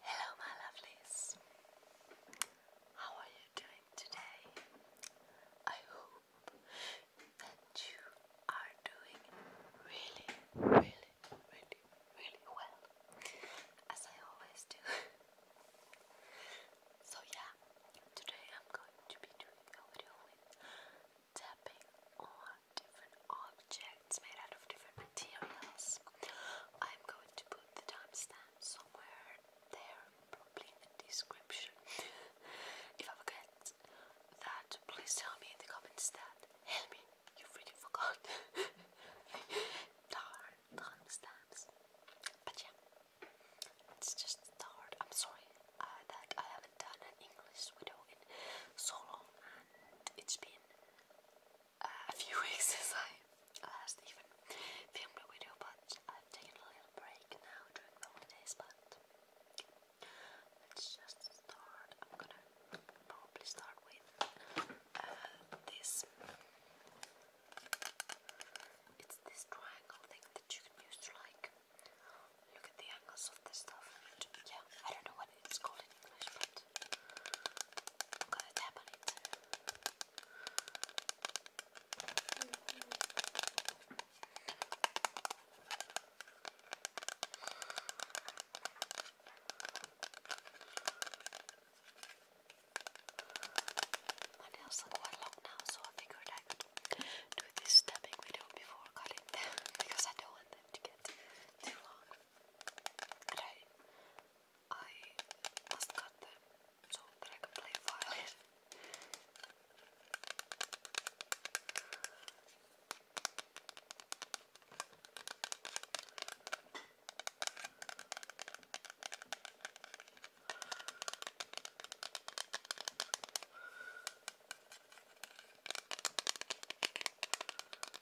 Hello, my lovelies. How are you doing today? I hope that you are doing really, really, really, really well, as I always do. so, yeah, today I'm going to be doing a video with tapping on different objects made out of different materials. I'm going to put the timestamp somewhere there, probably in the description. if I forget that, please tell me in the comments that, help me, you freaking forgot. Darn timestamps. But yeah, let's just start. I'm sorry uh, that I haven't done an English video in so long, it's been uh, a few weeks since I last even filmed a video, but I've taken a little break now during the holidays. But let's just start. I'm gonna probably start with uh, this. It's this triangle thing that you can use to like look at the angles this stuff. Yeah, I don't know what it's called in English, but I'm gonna tap on it. My nails are quite long now, so I figured I could do this tapping video before cutting them because I don't want them to get too long and I, I must cut them so that I can play violin.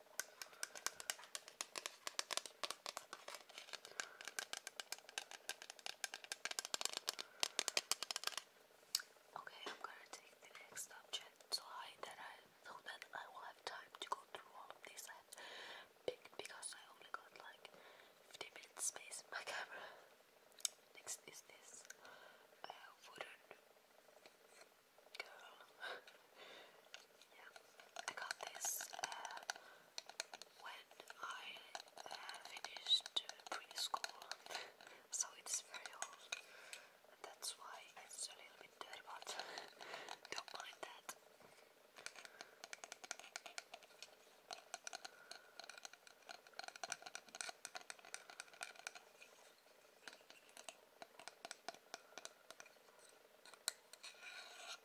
Okay, I'm gonna take the next subject so I that I so that I will have time to go through all of these and pick because I only got like 50 minutes space my camera. Next is this uh, wooden girl Yeah, I got this uh, when I uh, finished preschool, so it's very old, that's why it's a little bit dirty, but don't mind that.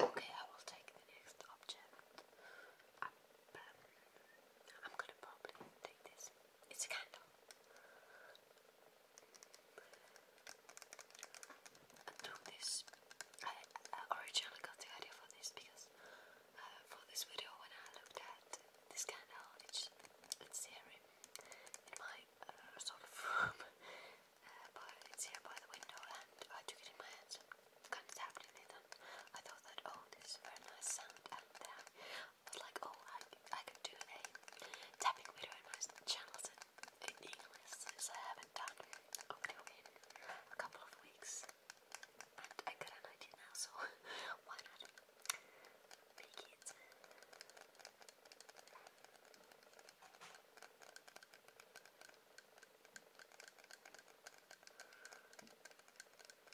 Okay, I will take the next object. I'm going to probably take this. It's a candle. I took this. I, originally got the idea for this because uh, for this video, when I looked at this candle, it's here in, my uh, sort of room, uh, but it's here by the window, and I took it in my hands kind of tapped in I thought that oh, this is very nice sound, and then I was like, oh, I I could do a tapping video in my channels in, in English since I haven't done a video in a couple of weeks, and I got an idea now, so why not make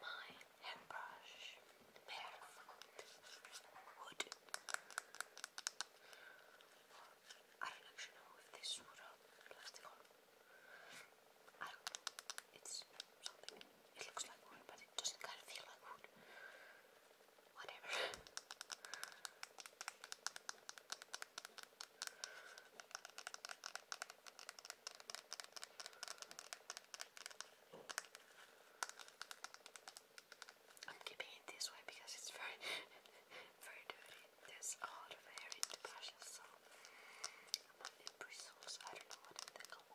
My hairbrush pair would. I don't actually know if this would or uh, plastic on. I don't know. It's it looks like wood, but it doesn't kind of feel like wood. Whatever. I'm keeping it this way because it's very, very dirty. There's a lot of hair in the brushes, so I'm not in I don't know what they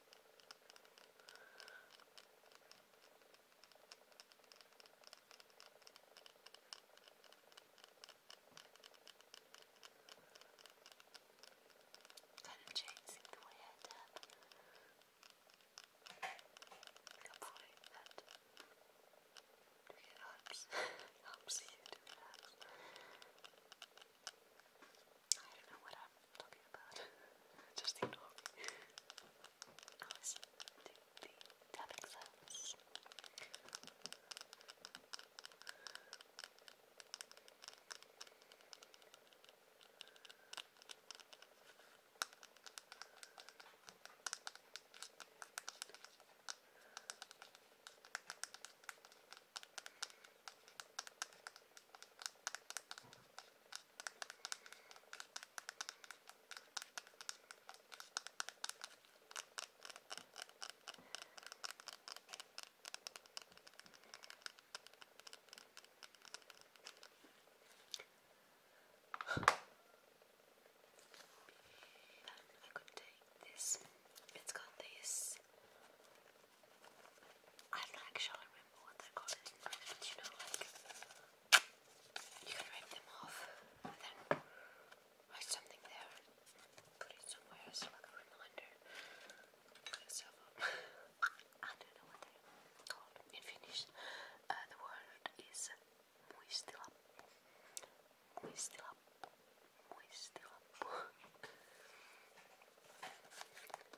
Kind of changing the way I tap. Hopefully that it helps. helps you to relax. I don't know what i talking about. Just ignore me. I the tapping sounds. I could take this. It's got this I like shall remember what they're called but you know, like you can rip them off then write something there, put it somewhere as like a reminder. I don't know what they're called in Finnish. Uh, the word is muistila. Muistila. Muistila.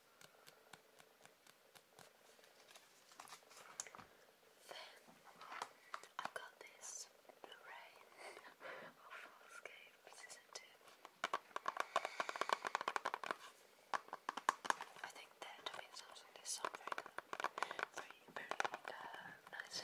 Then i got this array of Falscape Season 2. I think that doing something this song very Very, uh, nice.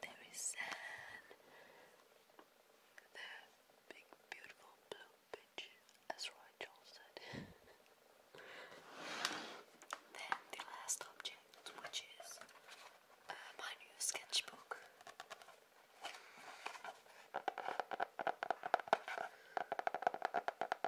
There is sand, the big, beautiful blue beach, as Roy said. then the last object, which is uh, my new sketchbook.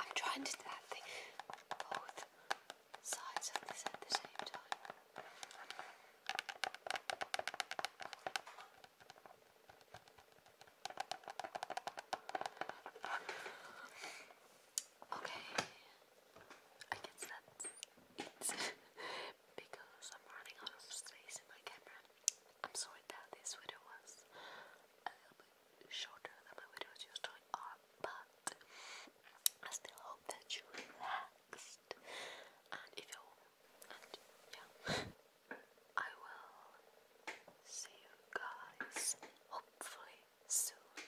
I'm trying to do that thing both sides of this at the same time. Okay, I guess that's it because I'm running out of space in my camera. I'm sorry that this video was a little bit shorter than my videos usually uh, are, but I still hope that you relaxed. And if you yeah, I will see you guys hopefully soon.